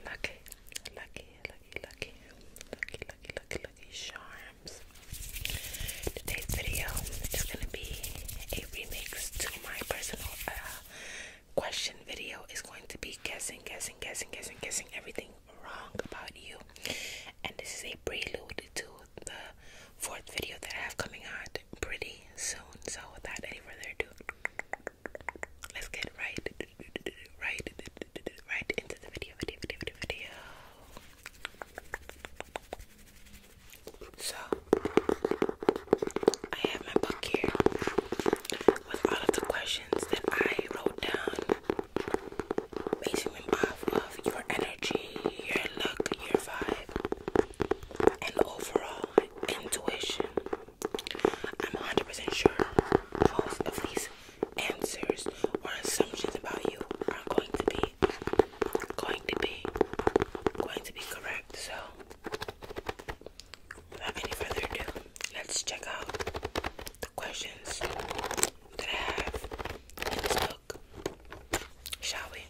Lucky, lucky, lucky, lucky, lucky, lucky, lucky, lucky, lucky, charms. Today's video is gonna be a remix to my personal uh, question video. It's going to be guessing, guessing, guessing, guessing, guessing everything wrong about you. And this is a prelude to the fourth video that I have coming out pretty soon. So without any further ado, let's get right, right, right into the video, video, video, video. So I have my book here with all of the questions that I wrote down basing them off of your energy, your look, your vibe, and overall intuition. I'm 100 sure most of these answers or assumptions about you are going to be, going to be, going to be correct. So, without any further ado, let's check out the questions that I have in this book. Shall we?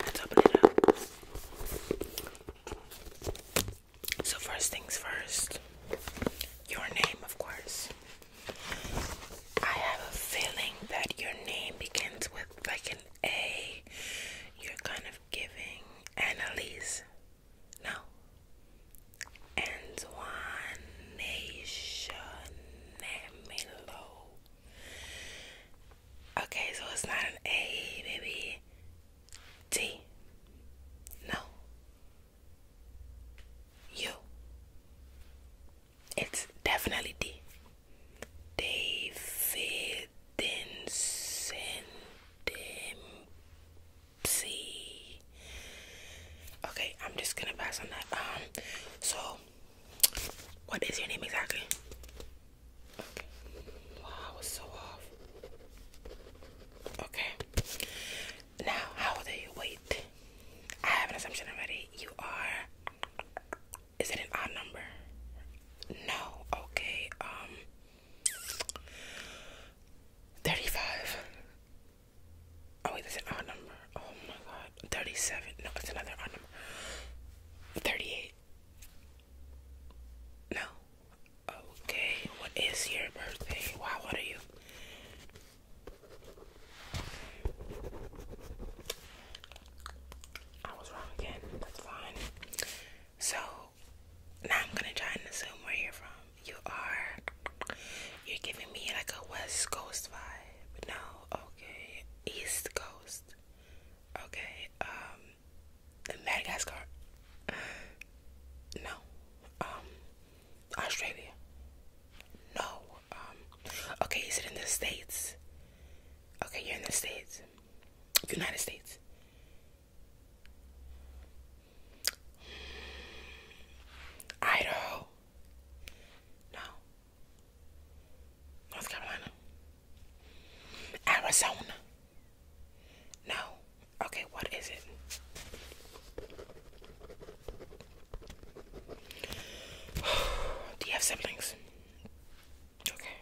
Let's open it up. So, first things first, your name, of course. I have a feeling that your name begins with like an a, you're kind of giving Annalise. No. Antoination Melo. Okay, so it's not an A, baby. T. No. You. It's definitely T. David Dempsey. Okay, I'm just gonna pass on that. Um, so what is your name exactly? Wow, I was so off. Okay. Now, how old are you? Wait. I have an assumption already. You are is it an odd number? No. Okay. Um. Thirty-five. Oh wait, that's an odd number. Oh my god. Thirty-seven. No, it's another odd number. Thirty-eight. No. Okay. What is your birthday? Wow. What are you? I was wrong again. That's fine. So now I'm gonna try and assume where you're from. You are. You're giving me like a West Coast vibe. No, okay. East Coast. Okay. Um, Madagascar. No. Um, Australia. No. Um. Okay, is it in the states? Okay, you're in the states. United States. Idaho. No. North Carolina. Arizona. No. Okay, what is it? Do you have siblings? Okay.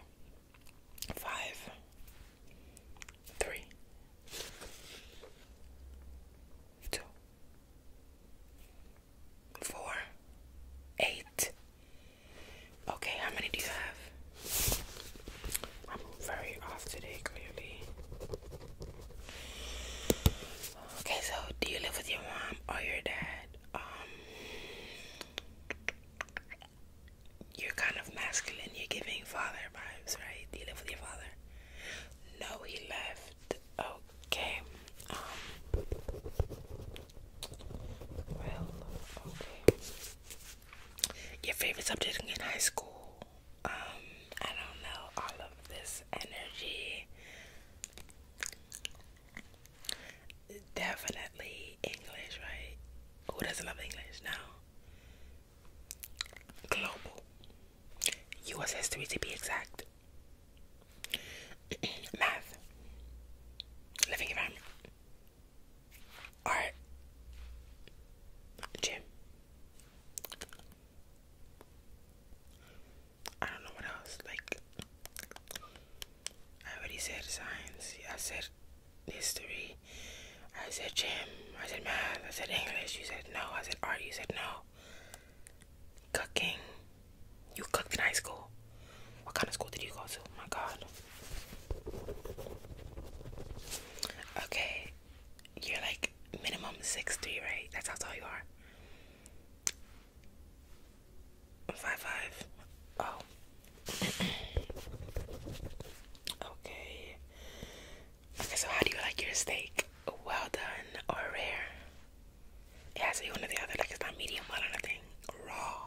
Five. Okay, how many do you have? I'm very off today, clearly. Okay, so do you live with your mom or your dad? Um, you're kind of masculine, you're giving father vibes, right? You live with your father. No, he left. Okay. Um, well, okay. Your favorite subject in high school. Um, I don't know, all of this energy. Definitely English, right? Who doesn't love English now? Global. US history to be exact. Math. Living environment. Art. Gym. I don't know what else. Like I already said science. I said history. I said gym. I said math. I said English. You said no. I said art. You said no. Cooking. You cooked in high school. What kind of school did you go to? My God. Okay, you're like minimum six three, right? That's how tall you are. Five five. Oh. okay. so how do you like your steak? Well done or rare? It one or the other, like it's not medium well or nothing. Raw.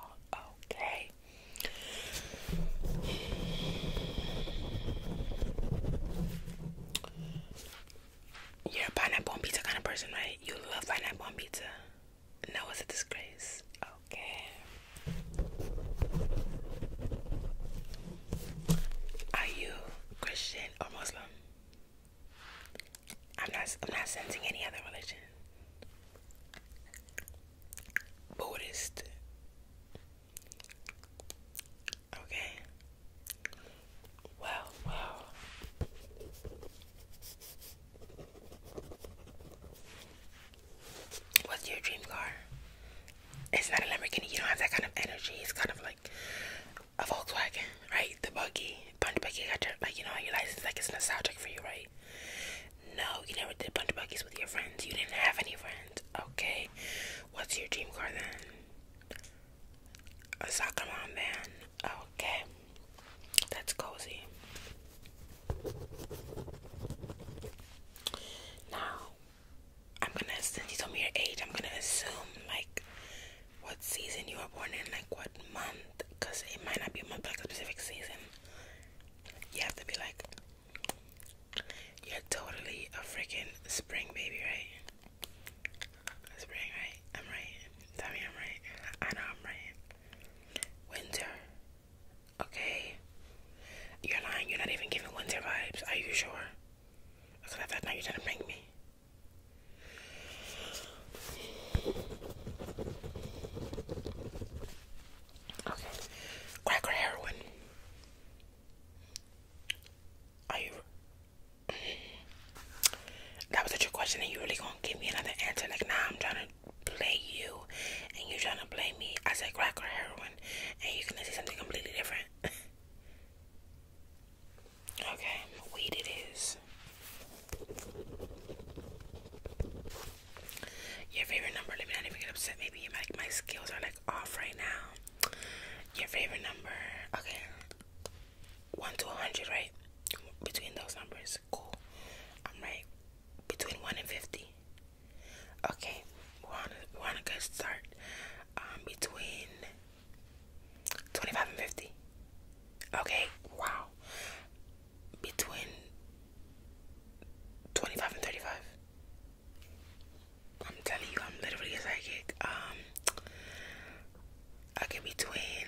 Okay. You're a pineapple on pizza kind of person, right? You love pineapple on pizza. No, it's a disgrace. Okay. Are you Christian or Muslim? I'm not. I'm not sensing any other religion. Buddhist. Okay. Well, well. What's your dream car? It's not a Lamborghini. You don't have that kind of energy. It's kind of like a Volkswagen, right? The buggy, Bunch of buggy. Got your, like you know your license. Like it's nostalgic for you, right? No, you never did Bunch of buggies with your friends. You didn't have any friends. Okay. What's your dream car then? A soccer mom van. Okay, that's cozy. Now, I'm gonna, since you told me your age, I'm gonna assume like what season you were born in, like what month, it might not be a specific season. You have to be like, you're totally a freaking spring baby, right? Spring, right? I'm right. Tell me I'm right. I know I'm right. Winter. Okay. You're lying. You're not even giving winter vibes. Are you sure? That's not you're trying to bring me. Okay. Crack or heroin? Are you. That was such a question, and you really gonna give me another answer? Like, nah, I'm trying to play you, and you trying to blame me. I said crack or heroin, and you're gonna say something completely different. okay, weed it is. Your favorite number? Let me not even get upset. Maybe you my skills are like off right now. Your favorite number? Okay. 1 to 100, right? Between those numbers. Cool. I'm right. Between 1 and 50. Okay. We're on a, we're on a good start. Um, between 25 and 50. Okay. Wow. Between 25 and 35. I'm telling you, I'm literally a psychic. Um, okay, between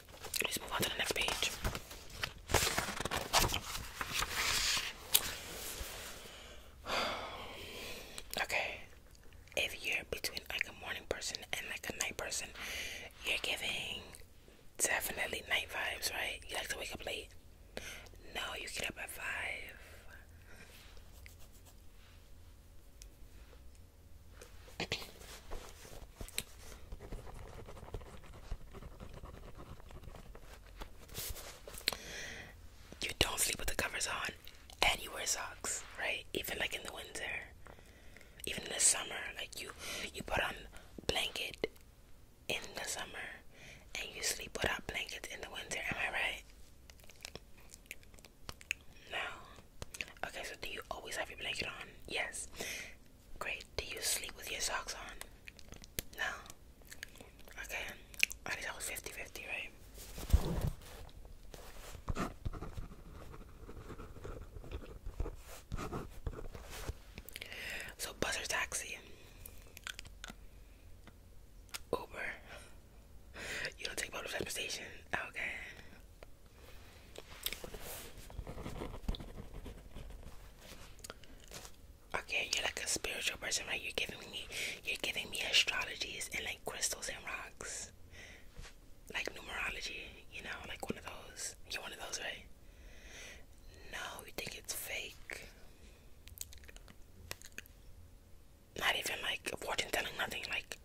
Let's move on to the next page. Okay, if you're between like a morning person and like a night person, you're giving definitely night vibes, right? You like to wake up late? No, you get up at five. You don't sleep with the covers on and you wear socks, right? Even like in the winter. Even in the summer, like you you put on blanket in the summer and you sleep without blanket in the winter, am I right? No. Okay, so do you always have your blanket on? Yes. Great. Do you sleep with your socks on? No. Okay. I think that was 50 50, right? So, bus taxi? Uber. You don't take public transportation? Okay. Okay, you're like a spiritual person, right? You're giving me, you're giving me astrologies and like crystals and rocks, like numerology. You know, like one of those. You're one of those, right? No, you think it's fake. Not even like fortune telling, nothing like.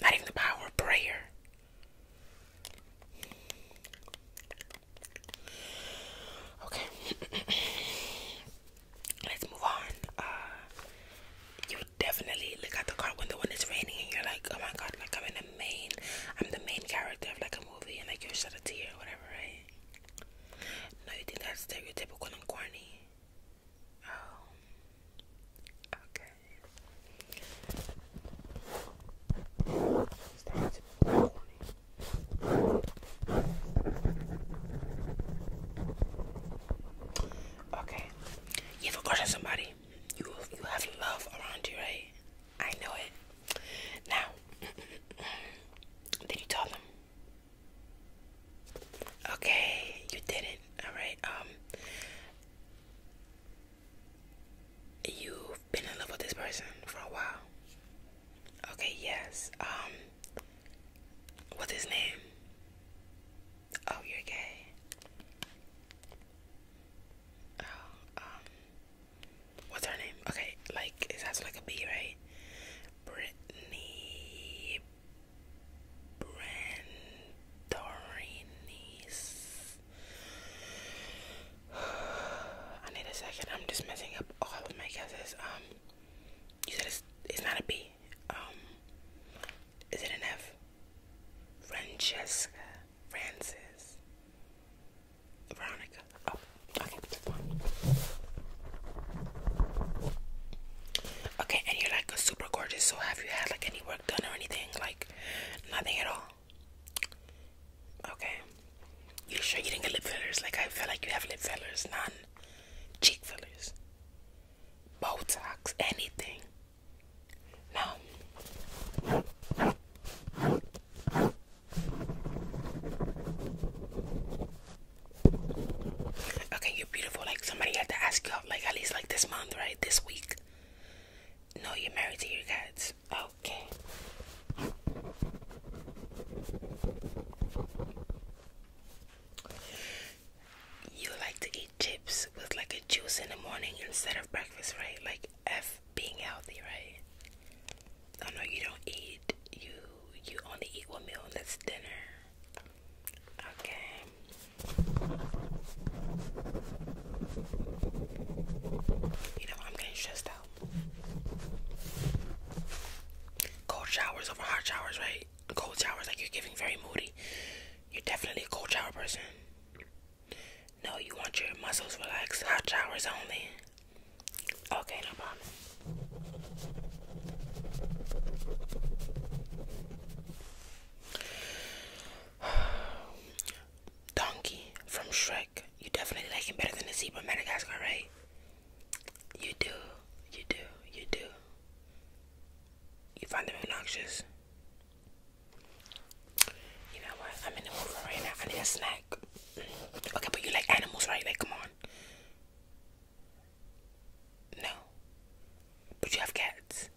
Not even the power of prayer. Okay. Let's move on. Uh, you definitely look at the car window when it's raining and you're like, oh my god, like I'm in the main, I'm the main character of like a movie and like you shed a tear or whatever, right? No, you think that's stereotypical and corny? Oh. Okay. Okay, you've got somebody. You you have love around you, right? I know it. Now, did you tell them? Okay, you didn't. All right. Um, you've been in love with this person for a while. Okay, yes. Um, what's his name? Oh, you're gay. Oh, um, what's her name? Okay, like, it has like a B, right? Brittany Brandorini I need a second. I'm just messing up all of my guesses. Um, you said it's it's not a B. Um, is it an F? Francesca, Francis, Veronica. Oh, okay, that's fine. Okay, and you're like a super gorgeous. So have you had like any work done or anything? Like nothing at all. Okay. You sure you didn't get lip fillers? Like I feel like you have lip fillers, none. Cheek fillers. Botox, anything. No. Okay, you're beautiful. Like somebody had to ask you like at least like this month, right? This week. No, you're married to your cats. Okay. You like to eat chips with like a juice in the morning instead of breakfast, right? Like F being healthy, right? Oh no, you don't eat. You you only eat one meal and that's dinner. Okay. You know, I'm getting stressed out. Cold showers over hot showers, right? Cold showers, like you're giving very moody. You're definitely a cold shower person. No, you want your muscles relaxed. Hot showers only. Okay, no problem. Donkey from Shrek. You definitely like him better than the zebra Madagascar, right? You do, you do, you do. You find them obnoxious. You know what? I'm in the mood for right now. I need a snack. Okay, but you like animals, right? Like, come on. No. But you have cats.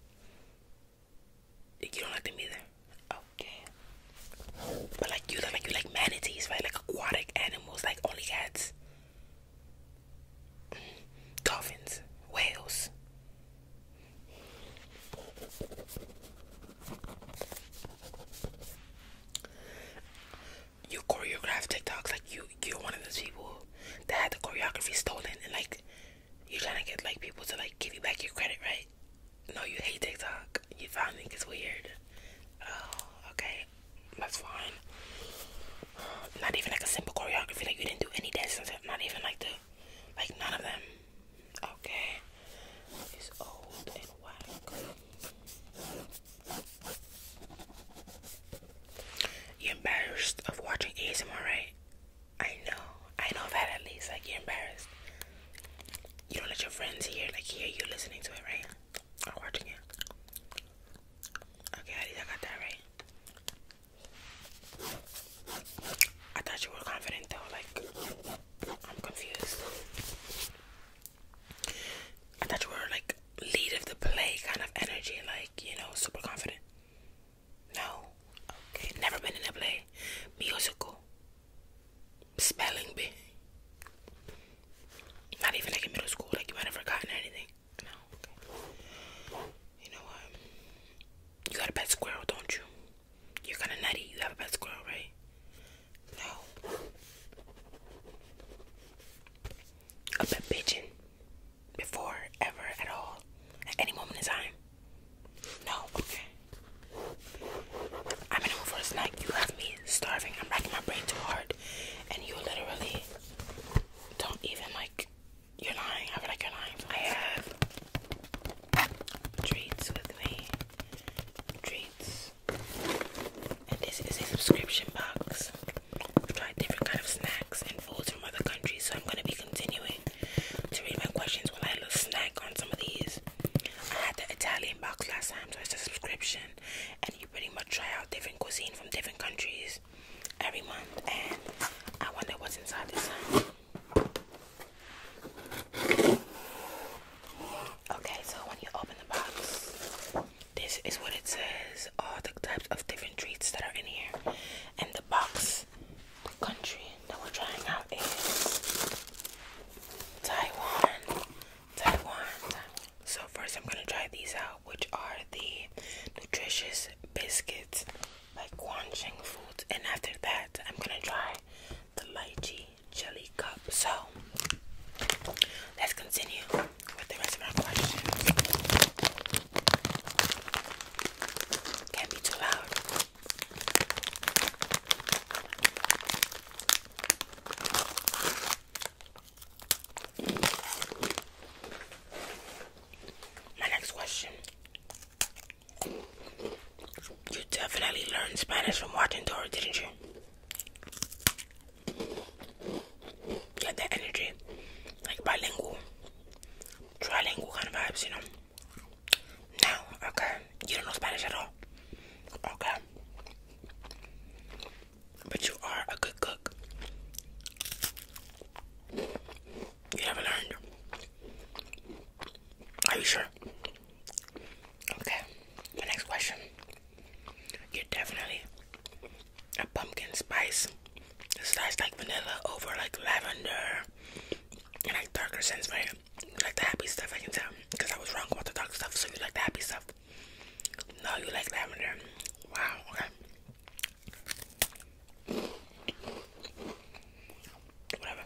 You don't like them either. Okay. But like you, like you like manatees, right? Like aquatic animals, like only cats, dolphins, whales. You choreograph TikToks like you. You're one of those people that had the choreography stolen and like you're trying to get like people to like give you back your credit, right? No, you hate TikTok. You finally think it's weird. Oh, okay, that's fine. Not even like a simple choreography. Like you didn't do any dances. Not even like the, like none of them. Okay, it's old and whack. you embarrassed of watching ASMR, right? I know. I know that at least. Like, you're embarrassed. You don't let your friends hear, like, hear you listening to it, right? Or watching it. Okay, I got that right. I thought you were confident, though. Like, I'm confused. I thought you were, like, lead of the play kind of energy. Like, you know, super confident. No. Okay. Never been in a play. Musical. Spelling bee. Not even like in middle school. Like you might have forgotten anything. No. You know what? You got a pet squirrel, don't you? You're kind of nutty. You have a pet squirrel, right? No. A pet pigeon. Before, ever, at all, at any moment in time. No, okay. I'm gonna move for a snack. You have me starving. I'm racking my brain too hard. And you literally don't even like you're lying. I feel like you're lying. I have treats with me. Treats. And this is a subscription box. I've tried different kind of snacks and foods from other countries, so I'm gonna be continuing to read my questions while I had a little snack on some of these. I had the Italian box last time, so it's a subscription, and you pretty much try out different cuisine from different countries every month. And I wonder what's inside this one. Okay, so when you open the box, this is what it says all the types of different treats that are in here, and the box the country that we're trying out is Taiwan. Taiwan. So first I'm gonna try these out, which are the nutritious biscuits by Guanxing Foods, and after that I'm gonna try the Mighty jelly cup. So let's continue with the rest of our questions. Can't be too loud. My next question. You definitely learned Spanish from watching Dora, didn't you? Get had that energy. Like bilingual. Trilingual kind of vibes, you know. No, okay. You don't know Spanish at all. Okay. But you are a good cook. You haven't learned. Are you sure? Okay. The next question. You're definitely a pumpkin spice so that's like vanilla over like lavender and like darker scents, right? You like the happy stuff, I can tell. Because I was wrong about the dark stuff, so you like the happy stuff. No, you like lavender. Wow, okay. Whatever.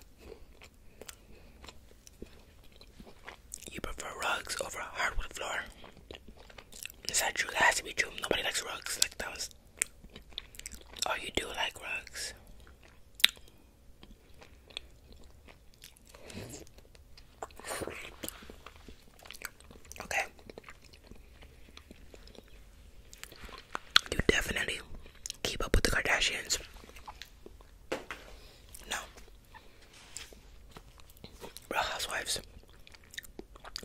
You prefer rugs over hardwood floor. Is that true? has to be true. Nobody likes rugs. Like that Oh, you do like rugs. Okay. You definitely keep up with the Kardashians. No. Real Housewives.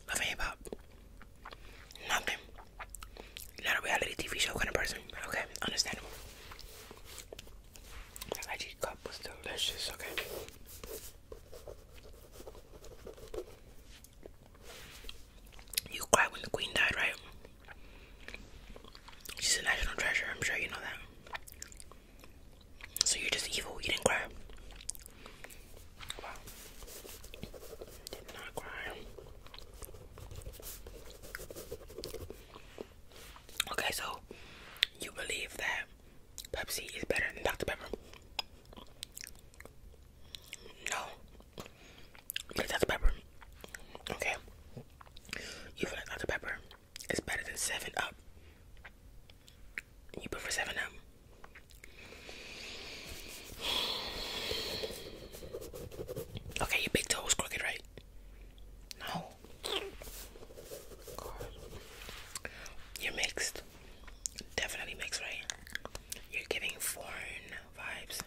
Love and Hip Hop. Nothing. Not a reality TV show kind of person. Okay, understandable. This IG cup delicious, okay? You cried when the queen died, right? She's a national treasure, I'm sure you know that. So you're just evil, you didn't cry. Okay, so you believe that Pepsi is better than Dr. Pepper? No. Because Dr. Pepper. Okay. You feel Dr. Pepper is better than 7 Up. You prefer 7 Up. Okay, your big toes crooked, right? No. You're mixed. Definitely mixed, right? You're giving foreign vibes.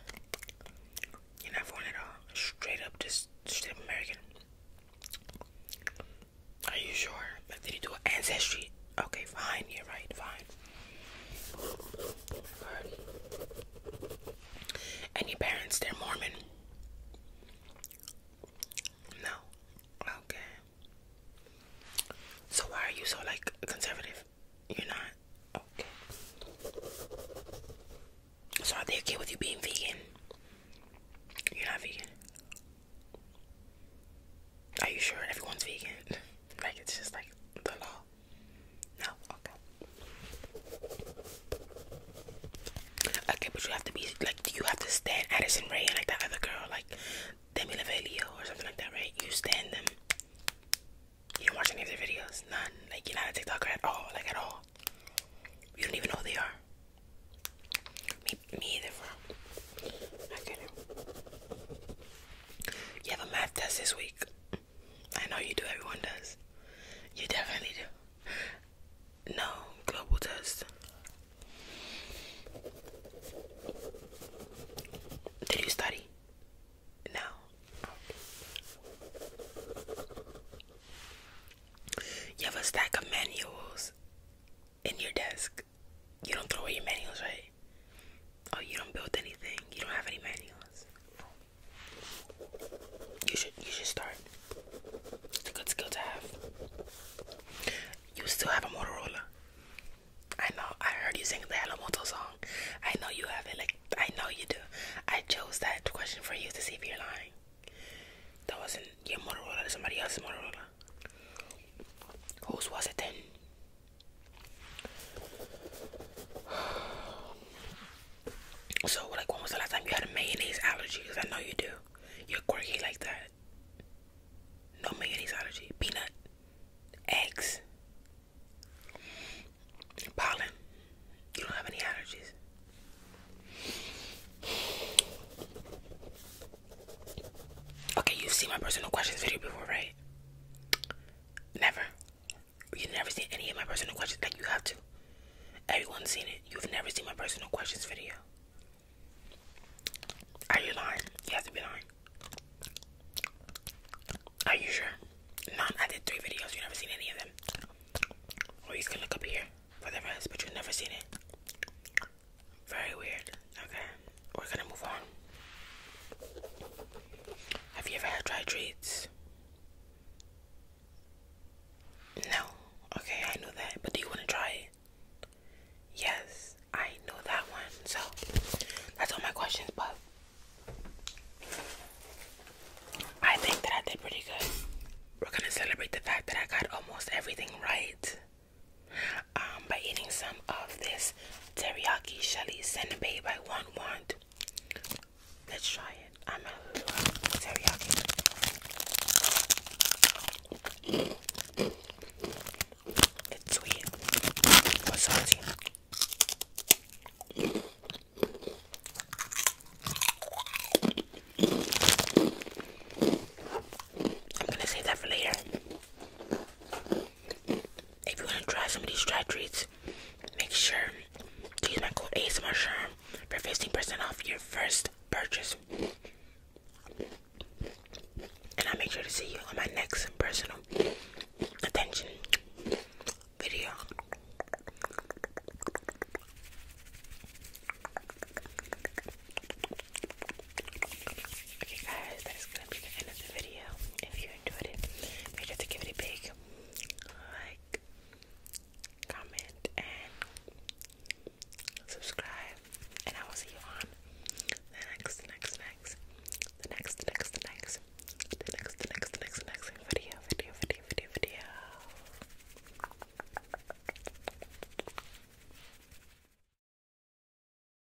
You're not foreign at all. Straight up, just straight American. Are you sure? Like, did you do ancestry? Okay, fine. You're right. Fine. Any parents, they're Mormon? No. Okay. So why are you so like conservative? You're not? Okay. So are they okay with you being vegan? You're not vegan. Are you sure everyone's vegan? Like it's just like the law. No? Okay. Okay, but you have to be, like, do you have to stand Addison Ray and, like, that other girl, like, Demi Lovaglio or something like that, right? You stand them. You don't watch any of their videos? None? Like, you're not a TikToker at all? Like, at all? You don't even know who they are? Me, either, I couldn't. You have a math test this week. I know you do, everyone does. You definitely do. No, global test. Did you study? No. You have a stack of manuals in your desk. You don't throw away your manuals, right? Oh, you don't build anything. You don't have any manuals. You should you should start. It's a good skill to have. You still have a Motorola. I know. I heard you sing the Hello Moto song. I know you have it. Like I know you do. I chose that question for you to see if you're lying. That wasn't your Motorola. somebody else's Motorola. Whose was it then? So, like, when was the last time you had a mayonnaise allergy? Cause I know you do. You're quirky like that. No mayonnaise allergy. Peanut. Eggs. Pollen. You don't have any allergies. Okay, you've seen my personal questions video before, right? Never. You've never seen any of my personal questions. Like, you have to. Everyone's seen it. You've never seen my personal questions video. Are you lying? You have to be lying. Are you sure? None. I did three videos. You've never seen any of them. Or you can look up here for the rest, but you've never seen it. Very weird. Okay we're gonna move on. Have you ever had dry treats? No. Okay, I know that. But do you want to try it? Yes, I know that one. So that's all my questions, but I think that I did pretty good. We're gonna celebrate the fact that I got almost everything right um, by eating some of this teriyaki shelly senbei by one wand. Let's try it. I'm a little teriyaki. It's sweet I'm gonna save that for later if you want to try some of these dry treats, make sure to use my code ASMR Sherm for 15% off your first purchase. And I'll make sure to see you on my next personal attention video. Okay guys, that is gonna be the end of the video. If you enjoyed it, make sure to give it a big like, comment, and subscribe. And I will see you on the next, next, next, the next, next, next, the next, next, next, next video, video, video, video, video.